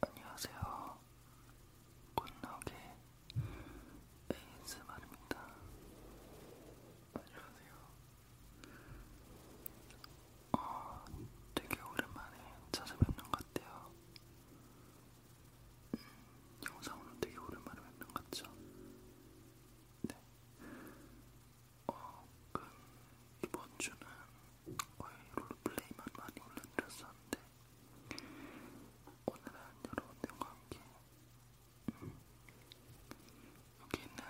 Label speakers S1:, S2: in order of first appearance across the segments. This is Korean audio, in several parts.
S1: 안녕하세요. 굿나게 ASMR입니다. 안녕하세요. 어, 되게 오랜만에 찾아뵙는 것 같아요. 음, 영상으로 되게 오랜만에 뵙는 것 같죠? 네. 어, 그 이번 주는 거의 롤플레이만 많이 올려드렸었는데 오늘은 여러분들과 함께 음, 여기 있는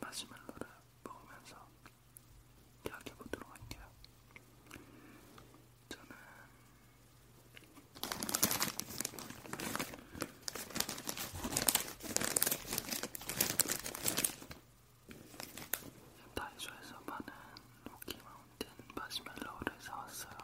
S1: 마시멜로를 먹으면서 이야기해보도록 할게요. 저는 다이소에서 파는 로키마운틴 마시멜로우를 사왔어요.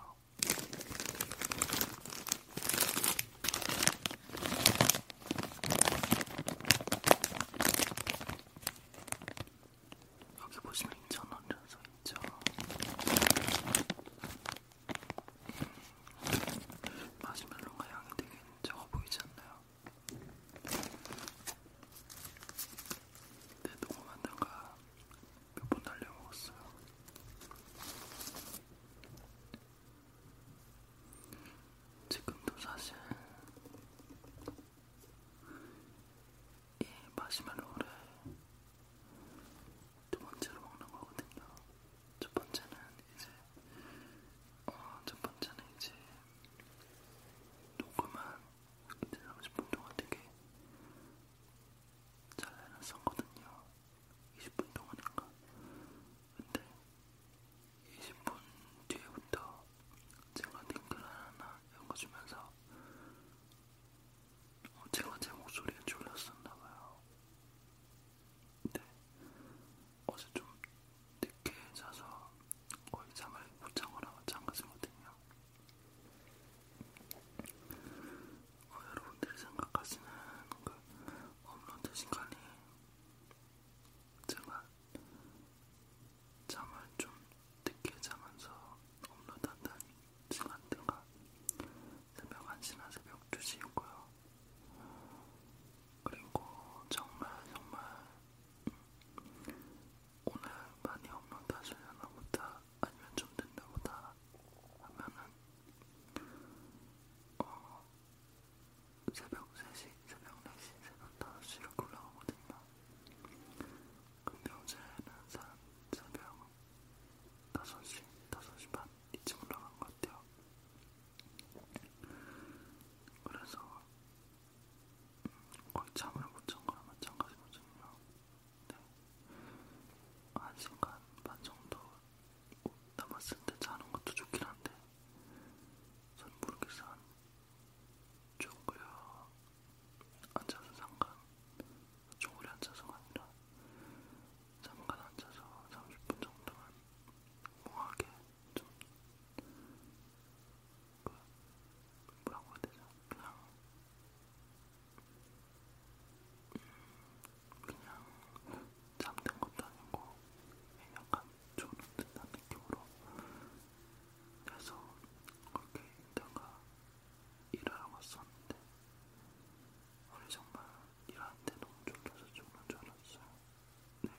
S1: 여기 보시면 2,000원이라서 있죠. 음, 마시멜로가 향이 되게 적어 보이지 않나요? 내 동호 만든가 몇번 날려 먹었어요. 지금도 사실 이 마시멜로를 두 번째로 먹는 거거든요. 첫 번째는 이제 어첫 번째는 이제 녹음은 이제 30분 동안 되게 잘 해놨었거든요. 20분 동안인가? 근데 20분 뒤에부터 제가 댓글 하나 읽어주면서 어, 제가 제 목소리에 졸렸었나봐요. 근데 네. 어제 좀 늦게 자서 거의 잠을 못 자거나 마찬가지거든요. 어, 여러분들이 생각하시는 그 업로드 시간이 제가 잠을 좀 늦게 자면서 업로드한다는 시간대가 새벽 1시나 새벽 2시였고요. 그리고 정말 정말 음, 오늘 많이 업로드 하시려나 보다 아니면 좀 된다 보다 하면은 어, 새벽 3시, 새벽 4시, 새벽 5시 이렇게 올라오거든요. 근데 어제는 산 새벽 5시, 5시 반 이쯤 올라간 것 같아요. 그래서 거의 잠을 못 잔 거랑 마찬가지거든요. 네. 한 시간 반 정도 남았을 때 자는 것도 좋긴 한데 전 모르겠어. 쪼그려 앉아서 잠깐 쪼그려 앉아서가 아니라 잠깐 앉아서 30분 정도만 멍하게 좀 그, 뭐라고 해야 되죠? 그냥 음, 그냥 잠든 것도 아니고 약간 졸음 듯한 느낌으로 해서 그렇게 있다가 일하러 왔었는데 오늘 정말 일하는데 너무 졸려서 죽는 줄 알았어요. 네.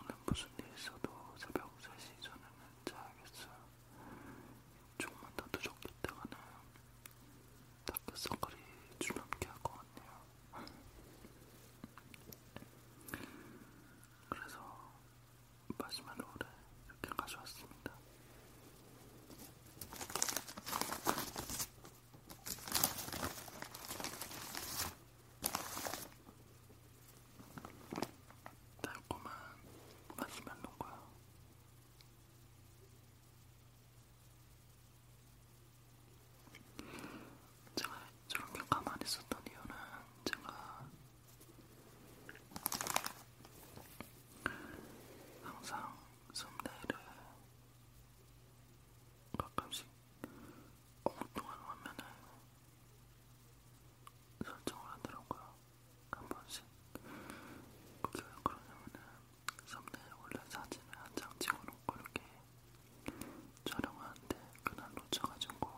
S1: 오늘 무슨 일 있어도 새벽 3시 전에는 자야겠어요. 조금만 더 늦었겠다가는 다크서클이 줄넘기 할것 같네요. 그래서 마지막 롤을 이렇게 가져왔습니다. 달콤한 마시멜로인거야 제가 저렇게 가만히 있었던 이유는 제가 항상 썸네일을 가끔씩 엉뚱한 화면을 설정을 하더라고요. 한 번씩. 그게 왜 그러냐면은 썸네일 원래 사진을 한 장 찍어놓고 이렇게 촬영하는데 그날 놓쳐가지고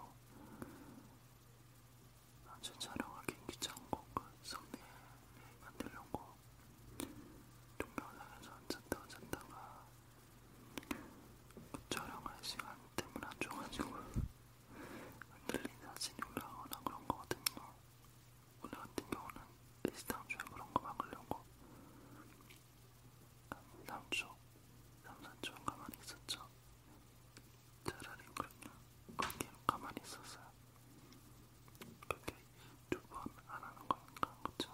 S1: 아주 촬영하기 귀찮고 그 썸네일 만들려고 동영상에서 찾다 찾다가 촬영할 시간 때문에 안 좋아가지고 흔들린 사진이 올라오거나 그런 거거든요. 오늘 같은 경우는 비슷한 주에 그런 거 막으려고 한 3초, 3, 4초 가만히 있었죠. 차라리 그냥 그렇게 가만히 있었어요. 그렇게 두번 안하는 거니까 그쵸?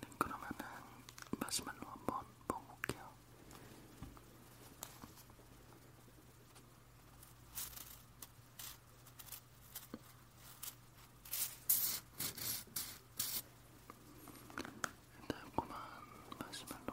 S1: 네, 그러면은 마시멜로 한번 먹어볼게요. 달콤한 마시멜로입니다.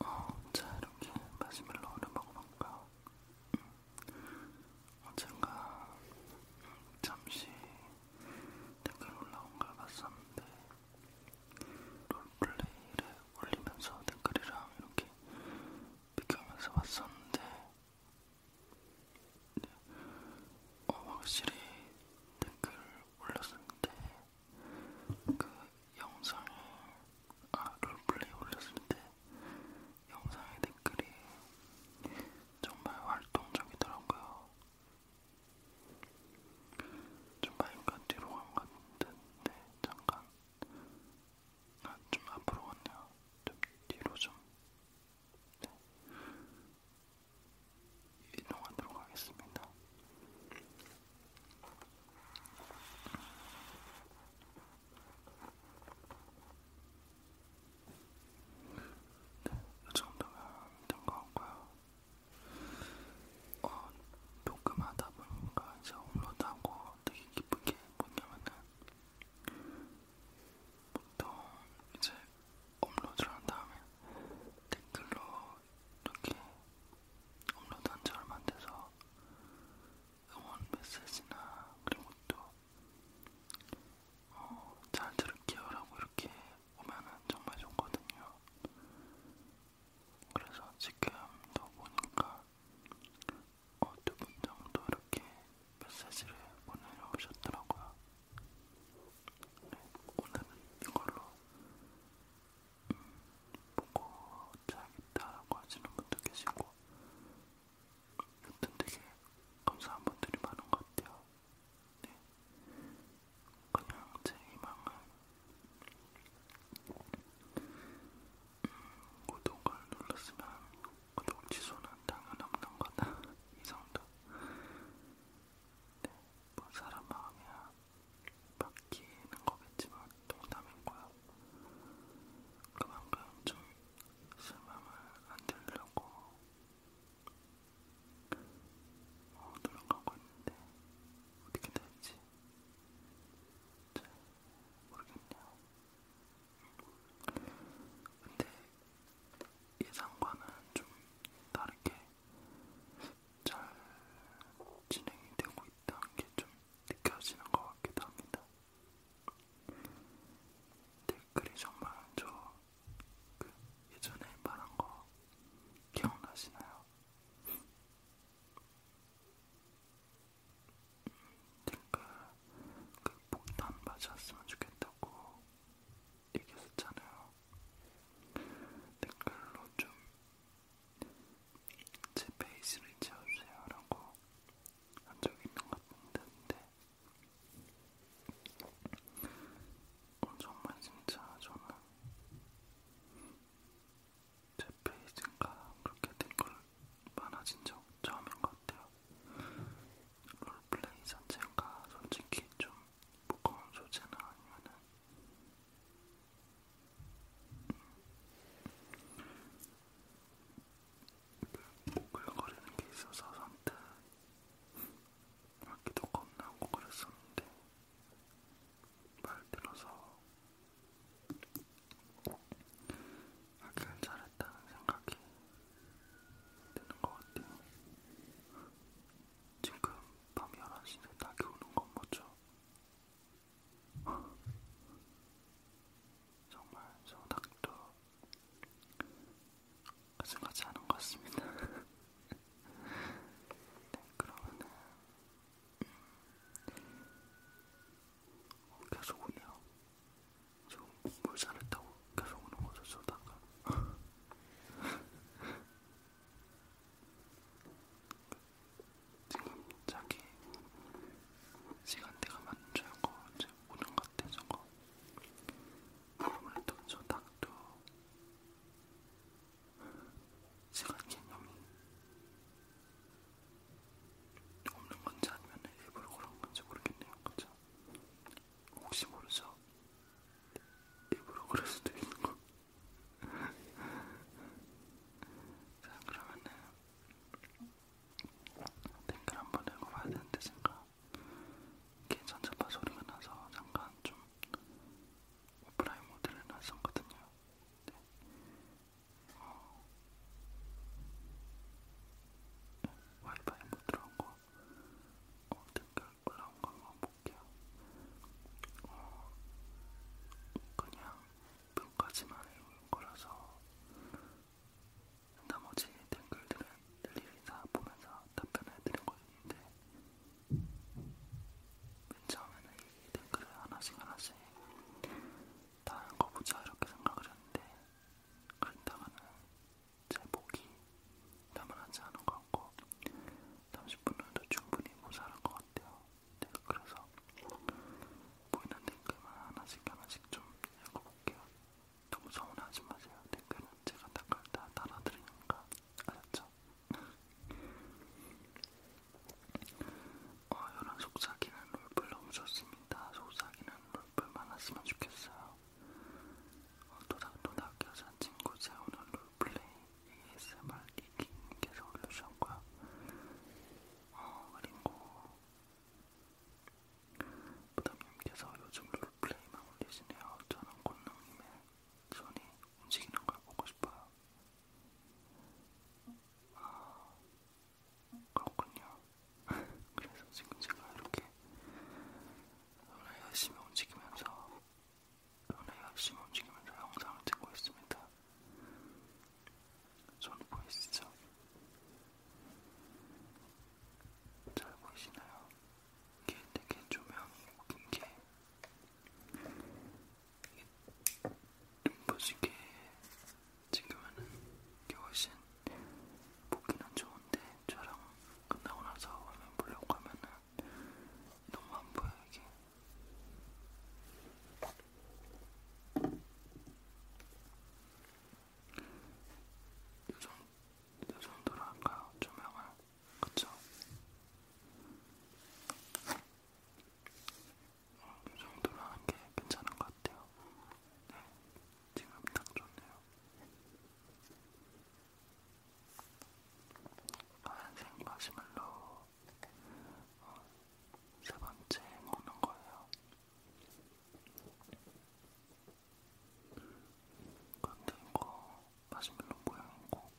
S1: 어, 자, 이렇게 마시멜로우를 먹어볼까? 언젠가 음. 어, 음, 잠시 댓글 올라온 걸 봤었는데 롤플레이를 올리면서 댓글이랑 이렇게 비교하면서 봤었는데 어, 확실히 댓글을 올렸을 때 그 영상에 아 롤플레이 올렸을 때 영상의 댓글이 정말 활동적이더라고요. 좀 많이가 뒤로 간 것 같은데 잠깐 아좀 앞으로 갔네요. 좀 뒤로 좀. 네. 이동하도록 하겠습니다. 네, 이 정도면 된것 같고요. 어, 녹음하다 보니까 이제 업로드하고 되게 기쁘게 뭐냐면은 보통 이제 업로드를 한 다음에 댓글로 이렇게 업로드한 지 얼마 안 돼서 응원 메시지나 그런 것도 어, 잘 들을게요라고 이렇게 오면은 정말 좋거든요. 그래서 지금도 보니까 어, 두분 정도 이렇게 메시지를 보내오셨더라고요. 오늘은 이걸로 음, 보고 자야겠다라고 하시는 분도 계시고 여튼 되게 감사한 분들이 많은 것 같아요. 네. 그냥 제 희망은 음, 구독을 눌렀으면 구독 취소는 당연 없는 거다. 이 정도. 뭐 사람 마음이야 바뀌는 거겠지만 농담인 거야. 그만큼 좀 실망을 안 들려고 어, 노력하고 있는데 어떻게 될지 잘 모르겠네요. 근데 예상과는 좀 다르게 잘 진행이 되고 있다는 게 좀 느껴지는 것 같기도 합니다. 댓글이 정말 저 그 예전에 말한 거 기억나시나요? 음, 댓글 그 폭탄 맞았으면 좋겠다고 얘기했었잖아요. 댓글로 좀 제 페이지를 채워주세요 라고 한 적이 있는 것 같은데 어, 정말 진짜 저는 제 페이지가 그렇게 댓글 많아진 적 처음인 것 같아요. 롤플레이 자체가 솔직히 좀 무거운 소재나 아니면은 글거리는 음, 게 있어서 선뜻 하기도 겁나고 그랬었는데 말 들어서 하길 잘했다는 생각이 되는 것 같아요. 지금 밤 11시인데 닭이 오는 건 뭐죠? 정말 저 닭도 가슴같이 하는 것 같습니다. 네, 그러면은 음, 계속 오네요. 저 물살을 타고 계속 오는 거죠 저다가 지금 자기 시간대가 맞춰야 거 이제 오는 것 같아 저거 아무래도 저 닭도 시간 개념이 없는 건지 아니면 일부러 그런 건지 모르겠네요 그죠? 혹시 모르죠? 일부러 그럴 수도 있는 거. 자, 그러면은 댓글 한번 읽어봐야 되는데 제가 이게 전자파 소리가 나서 잠깐 좀 오프라인 모드를 놨었거든요. 네. 어. 네, 와이파이 못 들어온 거 어, 댓글 올라온 거 한번 볼게요. 어, 그냥 뿅까지만 해온 거라서 나머지 댓글들은 일일이 다 보면서 답변해드린 것인데 맨 처음에는 이 댓글을 하나씩 하나씩 다른 거 보자 이렇게 생각을 했는데 그랬다가는 제복이 남아나지 않은 것 같고 30분 후에도 충분히 모자란 것 같아요. 그래서 보이는 댓글만 하나씩 하나씩 좀 읽어볼게요. 너무 서운하지 마세요. 댓글은 제가 닦을 때 달아드리니까 아셨죠? 어, 이런 속삭이는 롤플 너무 좋습니다. 속삭이는 롤플 많았으면 좋겠어요. 또닥또닥 여자 친구 재우는 롤플레이 ASMR 이기님께서 올려주셨고요. 어, 그리고 부담님께서 요즘 롤플레이만 올리시네요. 저는 곤농님의 손이 움직이는 걸 보고 싶어요. 아, 그렇군요. 그래서 지금 제가 이렇게 원래 열심히 움직이면서 원래 열심히 움직이면서 영상을 찍고 있습니다. 손 보이시죠? 잘 보이시나요? 이게 되게 조명이 웃긴 게 눈부시게 찍으면은 이게 훨씬 보기는 좋은데 촬영 끝나고 나서 화면 보려고 하면은 너무 안 보여 이게. 요정, 요정도로 할까요? 조명을? 그쵸? 어, 요정도로 하는게 괜찮은 것 같아요 네, 지금 딱 좋네요. 파란색 마시멜로 어, 세 번째 먹는 거예요. 근데 이거 마시멜로 모양이고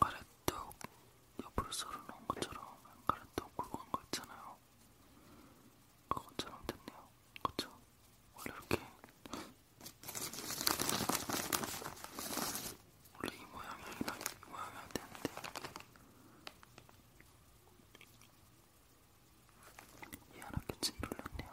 S1: 가래떡 옆으로 썰어놓은 것처럼 가래떡 굵은 거 있잖아요. 그것처럼 됐네요. 그쵸? 원래 이렇게 원래 이 모양이 아니라 이 모양이 안 되는데 희한하게 찐돌렸네요.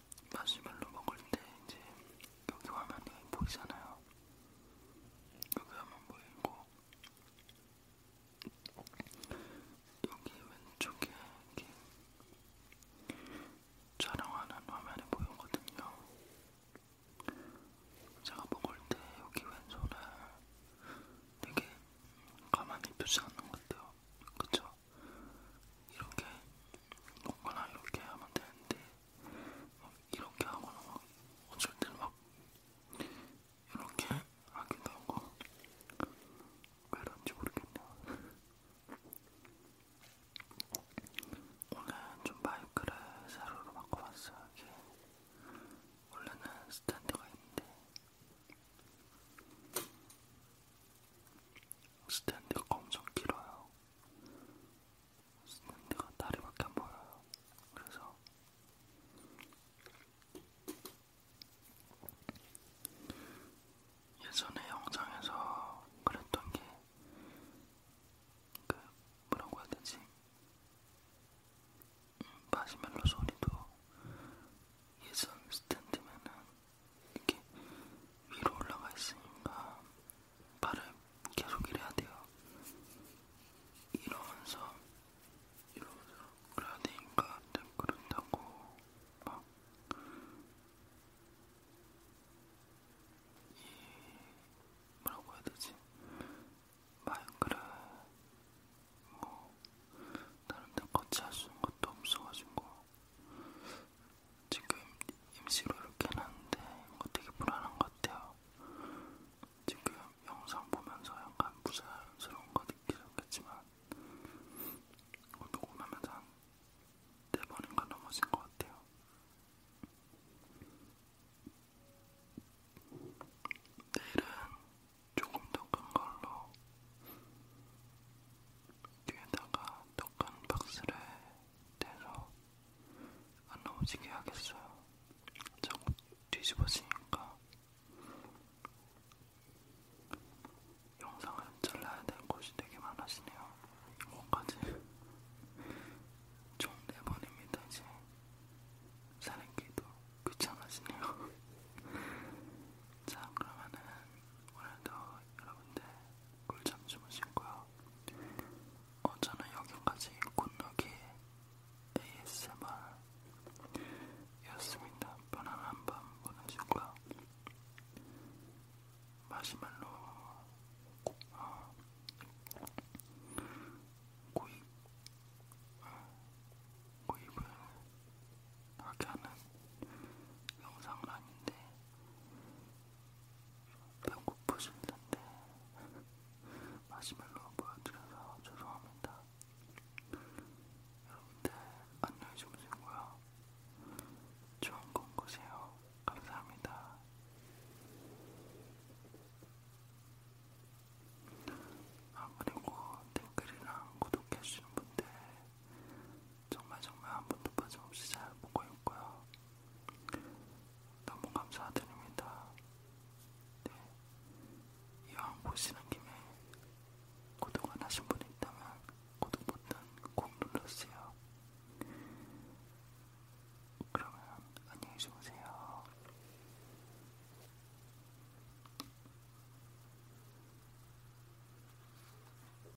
S1: 마시멜로 먹을 때 이제 여기 화면이 보이잖아요. 여기 화면 보이고 여기 왼쪽에 이렇게 촬영하는 화면이 보이거든요. 제가 먹을 때 여기 왼손을 되게 가만히 표시하는 것 같아요. 그쵸? 이렇게 먹거나 이렇게 하면 되는데 이렇게 하거나 막 어쩔 때는 막 이렇게 하기도 하고 그런지 모르겠네요. 오늘 좀 마이크를 세로로 바꿔봤어요. 이게 원래는 스탠드가 있는데 스탠드가 엄청 길어요. 쓰는 데가 다리밖에 안 보여요. 그래서 예전에 영상에서 그랬던 게, 그, 뭐라고 해야 되지? 음, 마시멜로 소리도 예전 스탠드면은 이렇게 위로 올라가 있으니까 발을 계속 이래야 돼요. 이러면서 이러면서 그래야 되니까 그런다고 막 이, 뭐라고 해야 되지? 마이크를 뭐 다른 데 거치할 수 있는 것도 없어가지고 지금 임시로 이렇게 해놨는데 이거 되게 불안한 것 같아요. 지금 영상 보면서 약간 부자연스러운 거 느끼셨겠지만 이거 어, 녹음하면서 한네 번인가 넘어진 것 같아요. 내일은 조금 더 큰 걸로 뒤에다가 더 큰 박스를 대로 안 넘어지게 하겠어요. 자꾸 뒤집어지니까 영상을 잘라야 될 곳이 되게 많아지네요. 이거까지 총 4번입니다. 이제 사는기도 귀찮아지네요. 자 그러면은 오늘도 여러분들 꿀잠 주무시고요. 어, 저는 여기까지 굿노기 ASMR였습니다. 편안한 밤 보내시고요. 마시멜로 어, 구입 어. 구입을 하게 하는 영상은 아닌데 배고프실 텐데 마시멜로 보여드려서 죄송합니다. 여러분들 안녕히 주무시고요. 좋은 꿈 꾸세요. 감사합니다. 아 그리고 댓글이랑 구독해주신 분들 정말 정말 한 번도 빠짐없이 잘 보고 있고요. 너무 감사드립니다. 네. 이왕 보시는 김에 구독 안 하신 분이 있다면 구독 버튼 꼭 눌러주세요. 그러면 안녕히 주무세요.